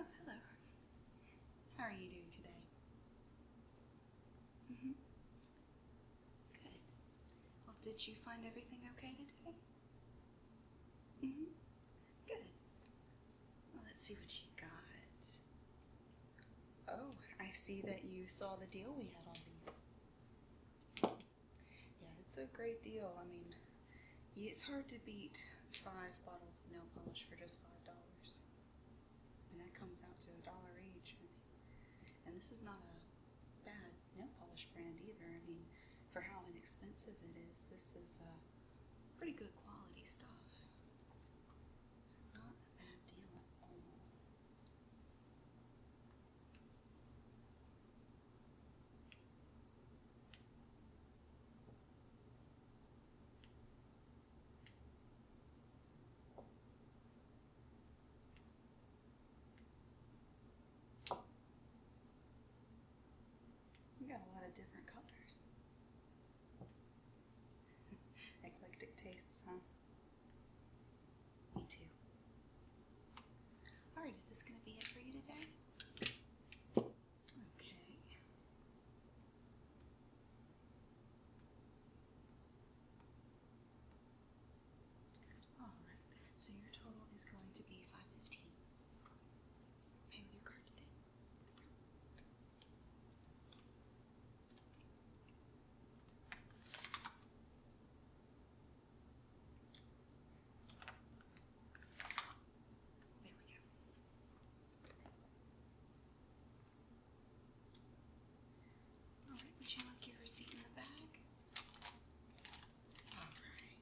Oh, hello. How are you doing today? Mm hmm Good. Well, oh, did you find everything okay today? hmm. Good. Well, let's see what you got. Oh, I see that you saw the deal we had on these. Yeah, it's a great deal. I mean, it's hard to beat five bottles of nail polish for just five dollars and that comes out to a dollar each. I mean, and this is not a bad nail polish brand either. I mean, for how inexpensive it is, this is uh, pretty good quality stuff. So not a bad deal at all. We got a lot of different colors. Eclectic tastes, huh? Me too. Alright, is this going to be it for you today? Okay. All right, so your total is going to be five fifteen. Pay with your card today. There we go. Alright, would you like your receipt in the bag? Alright.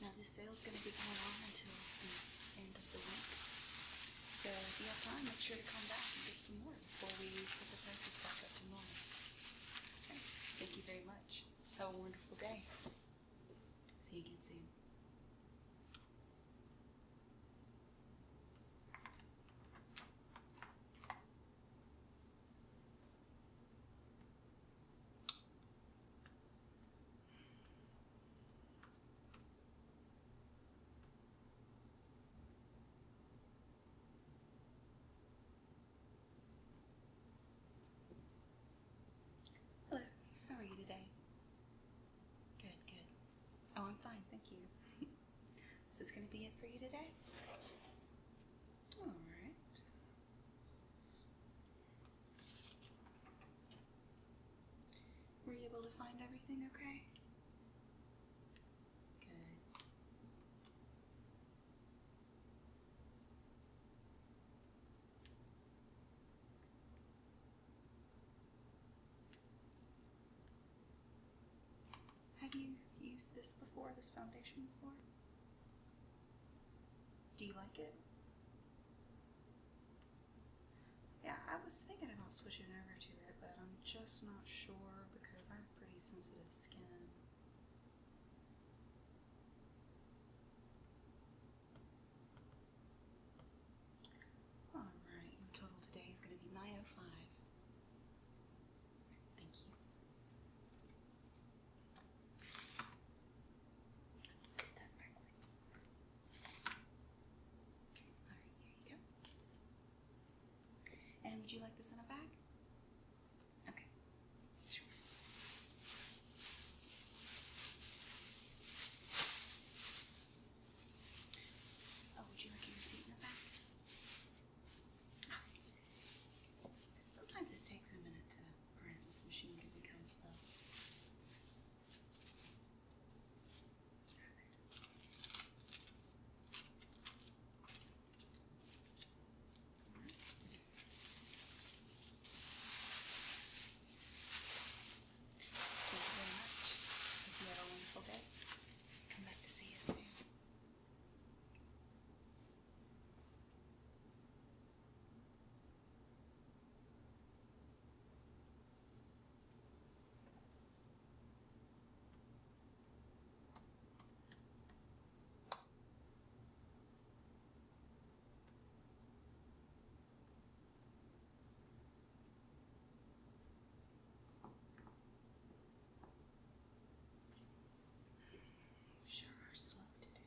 Now this sale is going to be going on until the end of the week. So if you have time, make sure to come back and get some more before we put the prices back up to Thank you very much. Have a wonderful day. See you again soon. Hello, how are you today? Good, good. Oh, I'm fine, thank you. Is this going to be it for you today? All right. Were you able to find everything okay? Good. Have you used this before, this foundation before? Do you like it? Yeah, I was thinking about switching over to it, but I'm just not sure because I have pretty sensitive skin. Alright, your total today is going to be 905. Thank you. Alright, here you go. And would you like this in a bag? Okay, sure. Oh, would you like your receipt in the back? Sometimes it takes a minute to around this machine gun because of. Yeah, Thank you very much. Hope you had a wonderful day. Come back to see us soon. You sure are slow today.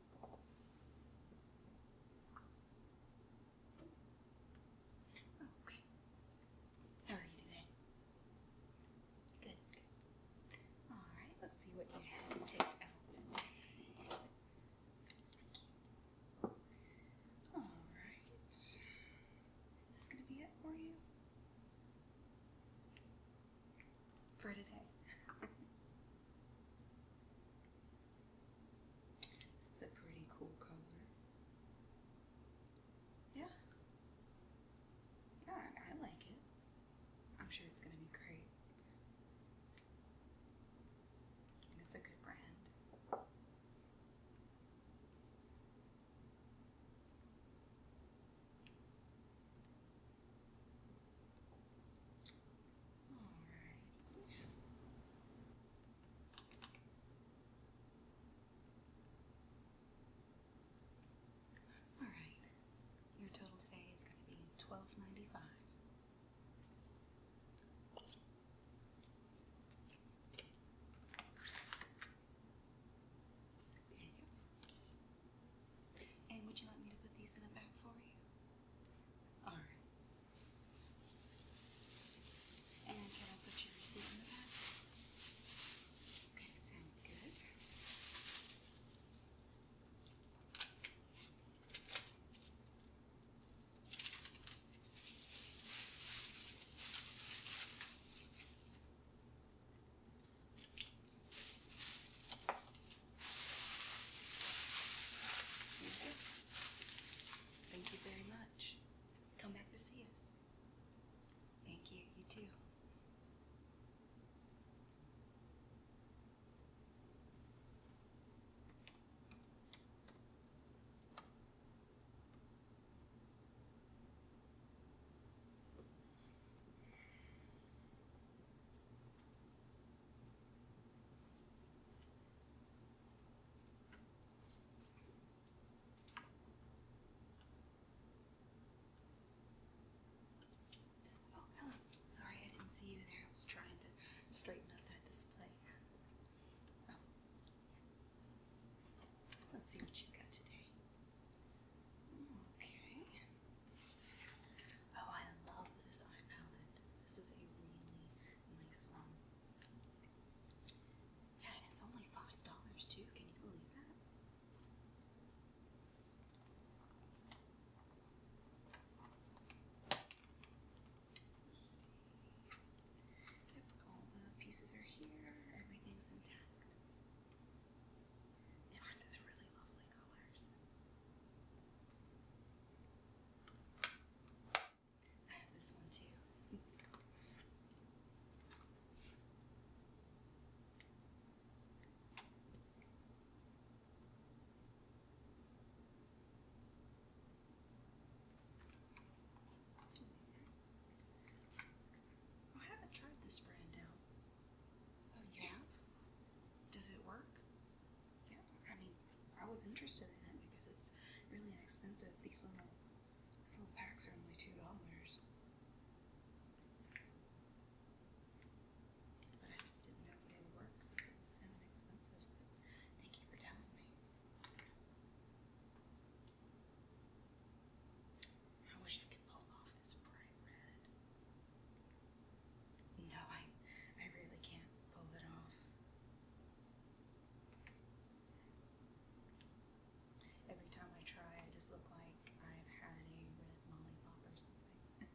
Okay. How are you today? Good. All right. Let's see what you have picked out today. All right. Is this gonna be it for you? for today. this is a pretty cool color. Yeah. Yeah, I like it. I'm sure it's going to be great. it's a good brand. All right. All right. Your total today is going to be twelve ninety five. There you go. And would you like me to put these in a bag for you? All right. And can I put your receipt in the back? Okay, sounds good. Thank you very much. Come back to see us. Thank you. You too. Oh, hello. Sorry, I didn't see you there. I was trying to straighten up that display. Oh. Let's see what you've got today. Okay. Oh, I love this eye palette. This is a really nice one. Yeah, and it's only $5 too. Can you believe that? Let's see. Yep, all the pieces are here. Everything's intact. And aren't those really lovely? I have this one too. Oh, I haven't tried this brand out. Oh, you have? Does it work? yeah, I mean, I was interested in it because it's really inexpensive. These little, these little packs are only two dollars. But I just didn't know if they would work since it was so inexpensive. thank you for telling me. I wish I could pull off this bright red. No, I I really can't pull it off. Every time I try, I just look like I've had a red molly pop or something.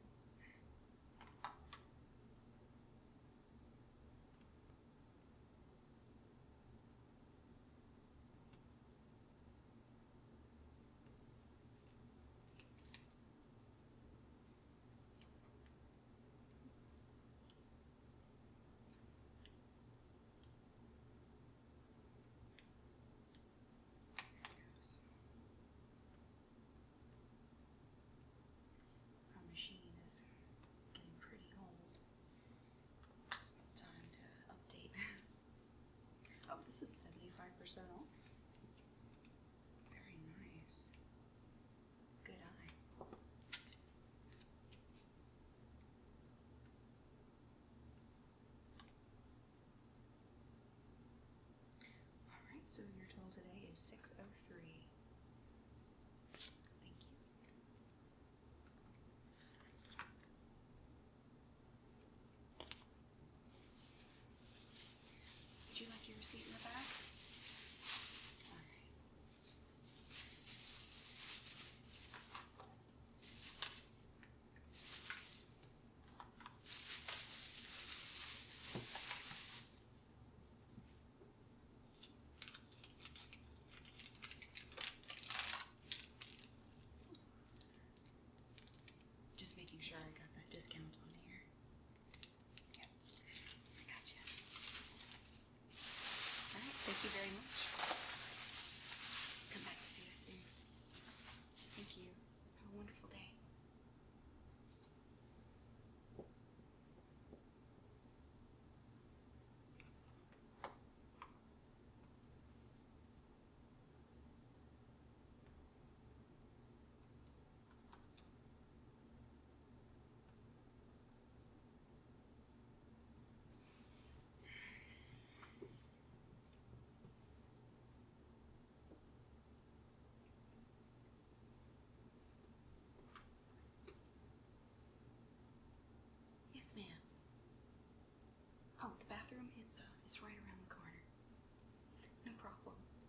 Our machine is getting pretty old. time to update. Oh, this is 75% off. Very nice. Good eye. Alright, so your total today is 603. Thank you. Would you like your seat in the back? Just making sure I got that discount on here. Yep, All right, thank you very much. Come back to see us soon. Thank you. Have a wonderful day. Yes, ma'am. Oh, the bathroom, it's, uh, it's right around the corner. No problem.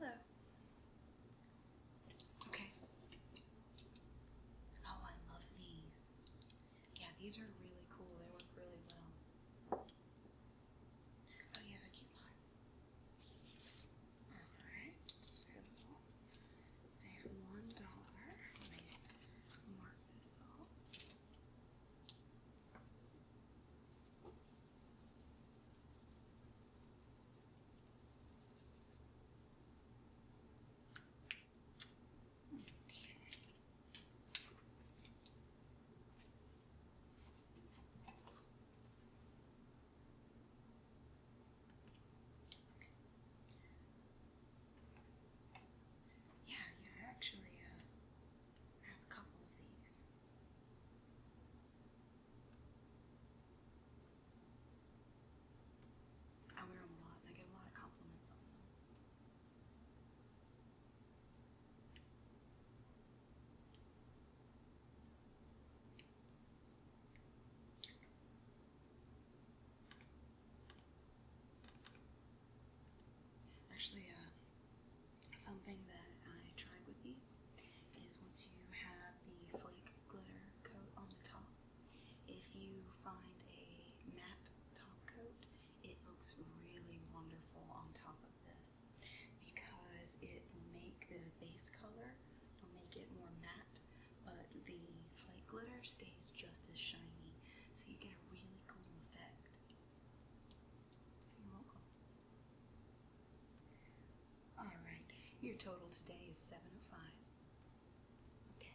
Hello. Okay. Oh, I love these. Yeah, these are really cool. They work really well. Oh, yeah, a cute Alright, so save one dollar. mark this off. Okay. Yeah, yeah, actually uh, have a couple of these. I wear a lot I get a lot of compliments on them. Actually, uh, something that I tried with these is once you have the flake glitter coat on the top, if you find a matte top coat, it looks really wonderful on top of this because it will make the base color, it'll make it more matte but the flake glitter stays just as shiny, so you get a really cool effect. You're welcome. Alright, your total today is 705. Okay.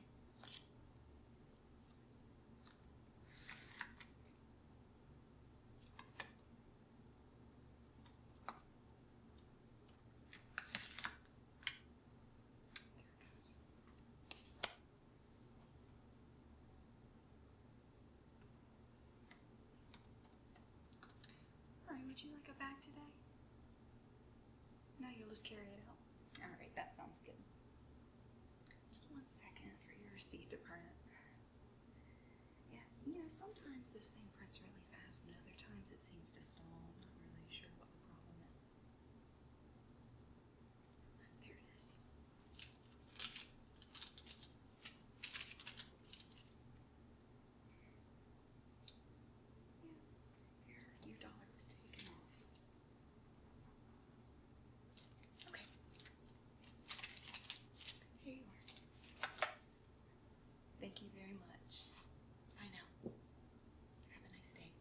There would you like a bag today? No, you'll just carry it out. Alright, that sounds good. Just one second for your receipt to print. Yeah, you know, sometimes this thing prints really fast, and other times it seems to stall. I'm not really sure what the problem is. There it is. Yeah, there, your dollar was taken off. Okay. Here you are. Thank you very much. I know. Have a nice day.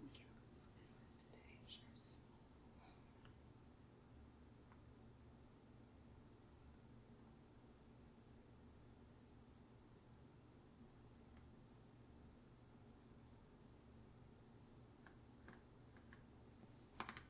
We get a little more business today, sure.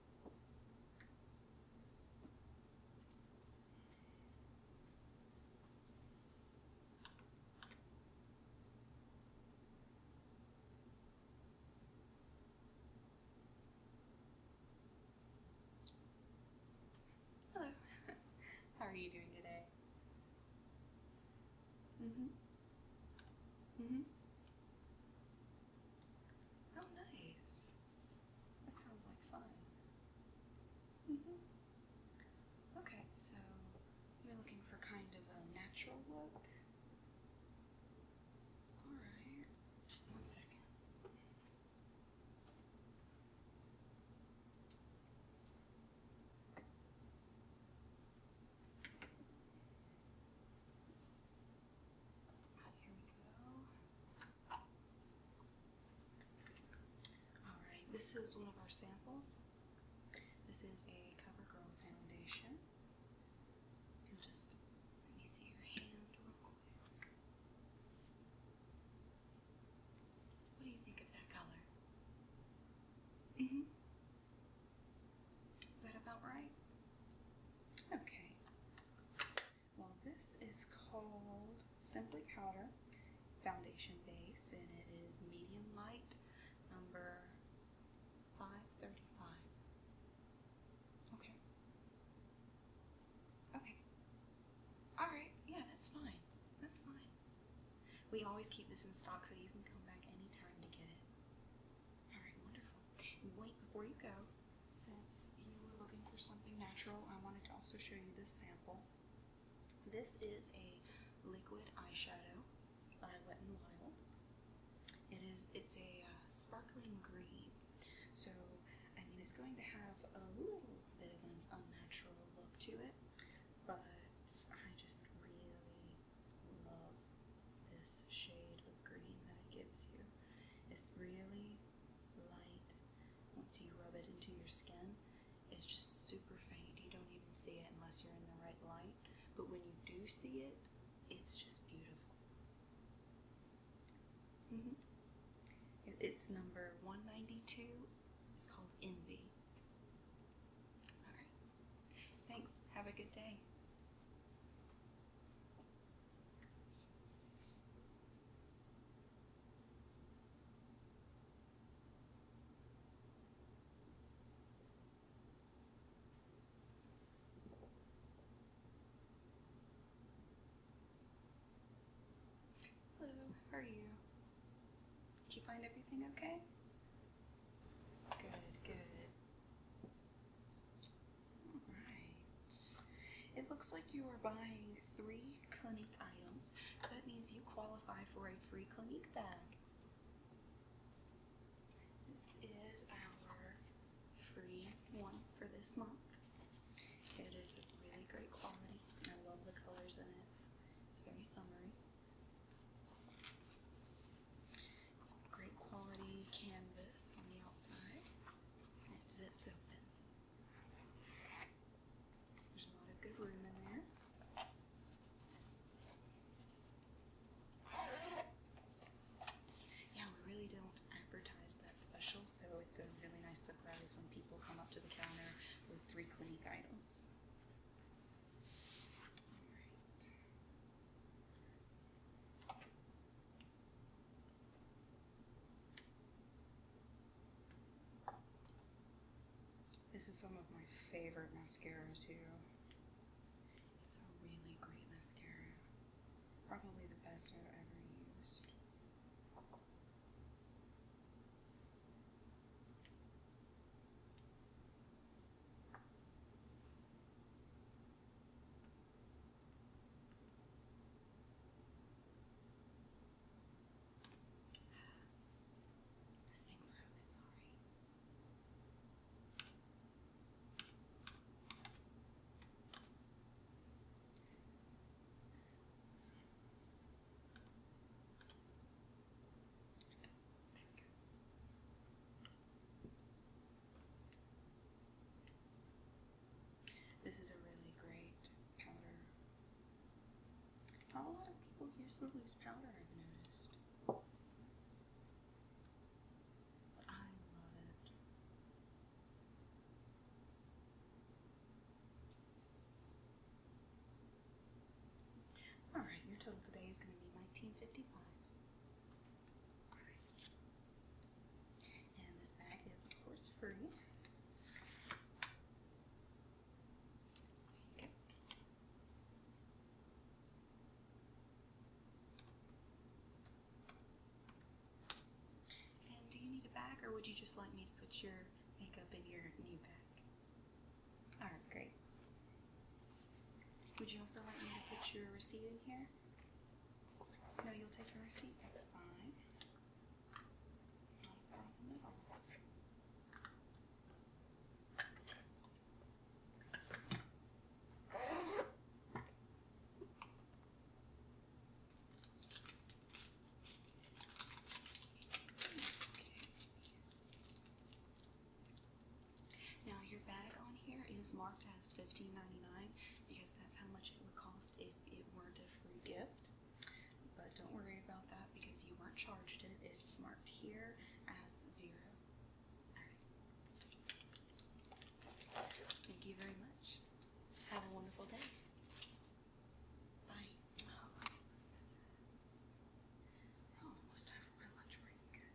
Hello. How are you doing today? Mm-hmm. Mm-hmm. Oh, nice. That sounds like fun. Mm-hmm. Okay, so you're looking for kind of a natural look. Alright, one second. Ah, here we go. Alright, this is one of our samples. This is a CoverGirl foundation. just let me see your hand real quick. What do you think of that color? Mm-hmm. Is that about right? Okay. Well, this is called Simply Powder Foundation Base, and it is medium light number 535. Okay. Okay. Alright, yeah, that's fine. That's fine. We always keep this in stock so you can come back any time to get it. All right, wonderful. wait before you go, since you were looking for something natural, I wanted to also show you this sample. This is a liquid eyeshadow by Wet n Wild. It is it's a uh, sparkling green, so I mean it's going to have a little bit of an unnatural look to it, but I just really love this shade of green that it gives you. It's really light. Once you rub it into your skin, it's just super faint. You don't even see it unless you're in the right light. But when you do see it, it's just beautiful. -hmm. It's number 192. It's called Envy. Alright. Thanks. Have a good day. Hello, how are you? Did you find everything okay? Good, good. Alright. It looks like you are buying three Clinique items. So that means you qualify for a free Clinique bag. This is our free one for this month. It is really great quality. I love the colors in it. It's very summery. It's great quality canvas on the outside it zips open. There's a lot of good room in there. Yeah, we really don't advertise that special, so it's a really nice surprise when people come up to the counter with three clinic items. All right. This is some of my favorite mascara too. It's a really great mascara. Probably the best I've ever used. This thing froze, sorry. This is a really great powder. Not a lot of people use loose powder, I've noticed. I love it. Alright, your total today is going to be 1955. And this bag is, of course, free. And do you need a bag, or would you just like me to put your makeup in your new bag? All right, great. Would you also like me to put your receipt in here? No, you'll take your receipt. That's fine. Not problem at all. Okay. Now your bag on here is marked as 15 because that's how much it would cost if it weren't a free gift. But don't worry about that because you weren't charged it. It's marked here as zero. Alright. Thank you very much. Have a wonderful day. Bye. Oh, almost time for my lunch break. Good.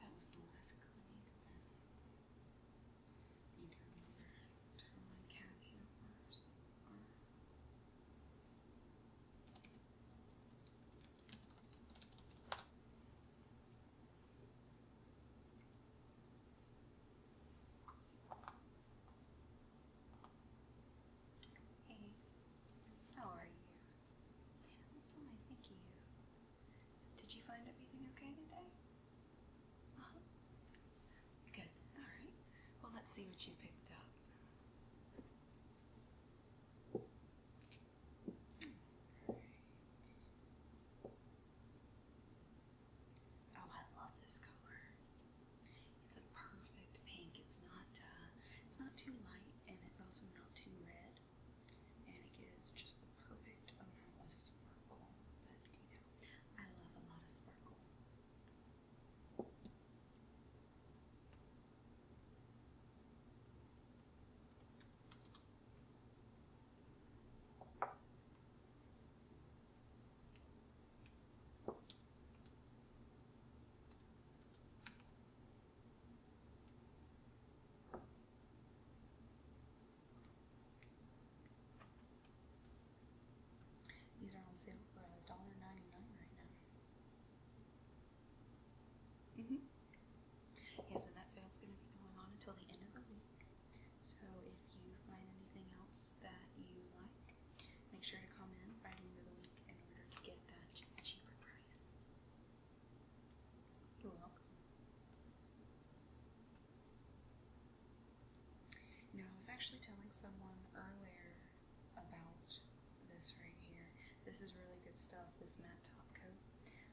That was the last clinic bag. remember to remind Kathy Hey, how are you? I'm thank you. Did you find everything okay today? uh Good, alright. Well, let's see what you picked up. Hmm, oh, I love this color. It's a perfect pink. It's not uh, it's not too light and it's also not too red. And it gives just the perfect amount of sparkle. But you know, I love a lot of sparkle. These are on sale for $1.99 right now. Mm-hmm. Yes, and that sale's going to be going on until the end of the week. So if you find anything else that you like, Make sure to comment by the end of the week in order to get that cheaper price. You're welcome. Now, I was actually telling someone earlier about this right here. This is really good stuff, this matte top coat.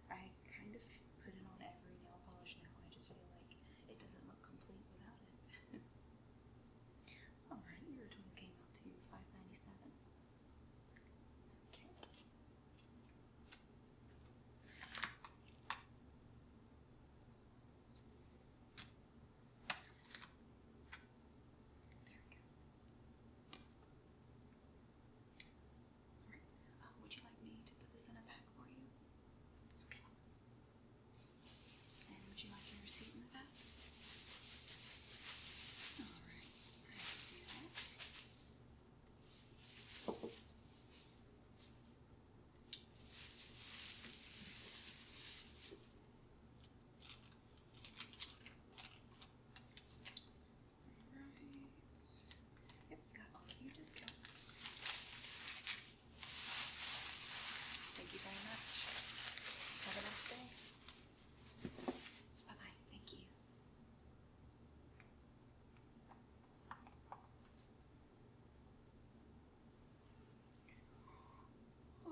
I kind of put it on every nail polish now. I just feel like it doesn't look complete without it. Alright, your total came out to five ninety seven. Okay. There it goes. Alright. Uh, would you like me to put this in a bag for you? Okay would you like your receipt in the back? Alright, I will do that. Alright. Yep, got all your discounts. Thank you very much. Have a nice day. Bye bye. Thank you. Oh.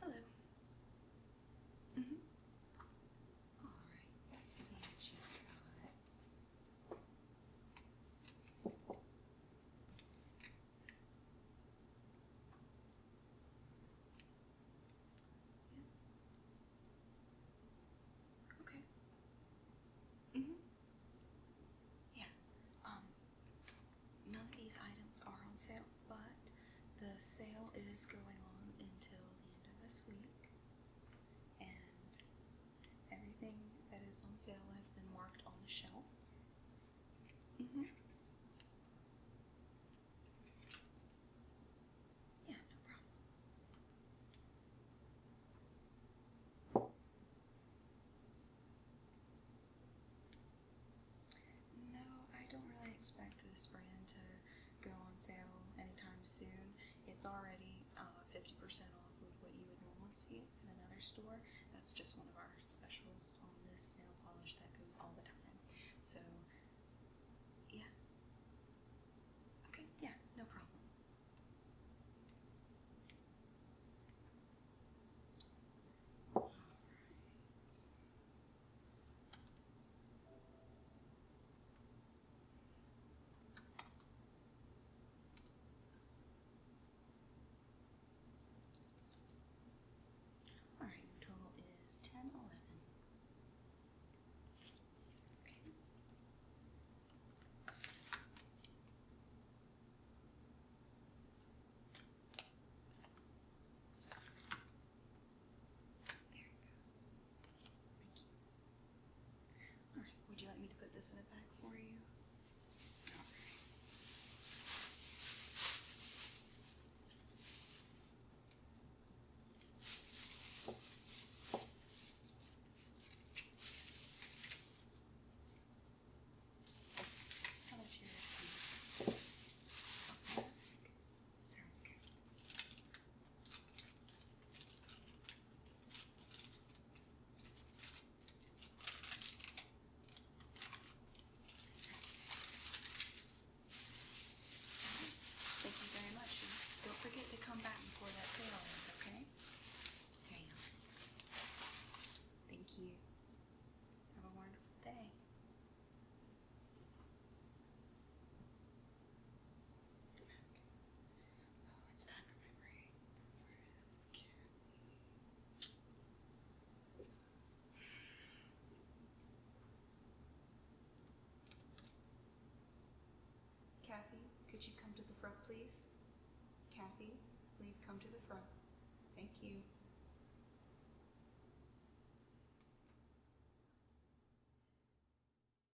Hello. Mm -hmm. All right. Let's see what you got. Okay. Mm hmm Yeah. Um, none of these items are on sale, but the sale is going on until the end of this week and everything that is on sale has been marked on the shelf. Mm-hmm. Yeah, no problem. No, I don't really expect this brand to go on sale anytime soon. It's already 50% uh, off of what you would normally see in another store. That's just one of our specials on this nail polish that goes all the time. So, yeah. Okay, yeah, no problem. All right. All right, total is 10, Okay. There it goes. Alright, would you like me to put this in a bag for you? Alright. How about your receipt? Also in Sounds good. Thank you very much. don't forget to come back and pour that sale ends, okay? There Thank you. Have a wonderful day. Oh, it's time for my break. Where's Kathy? Kathy, could you come to the front, please? Kathy, please come to the front. Thank you.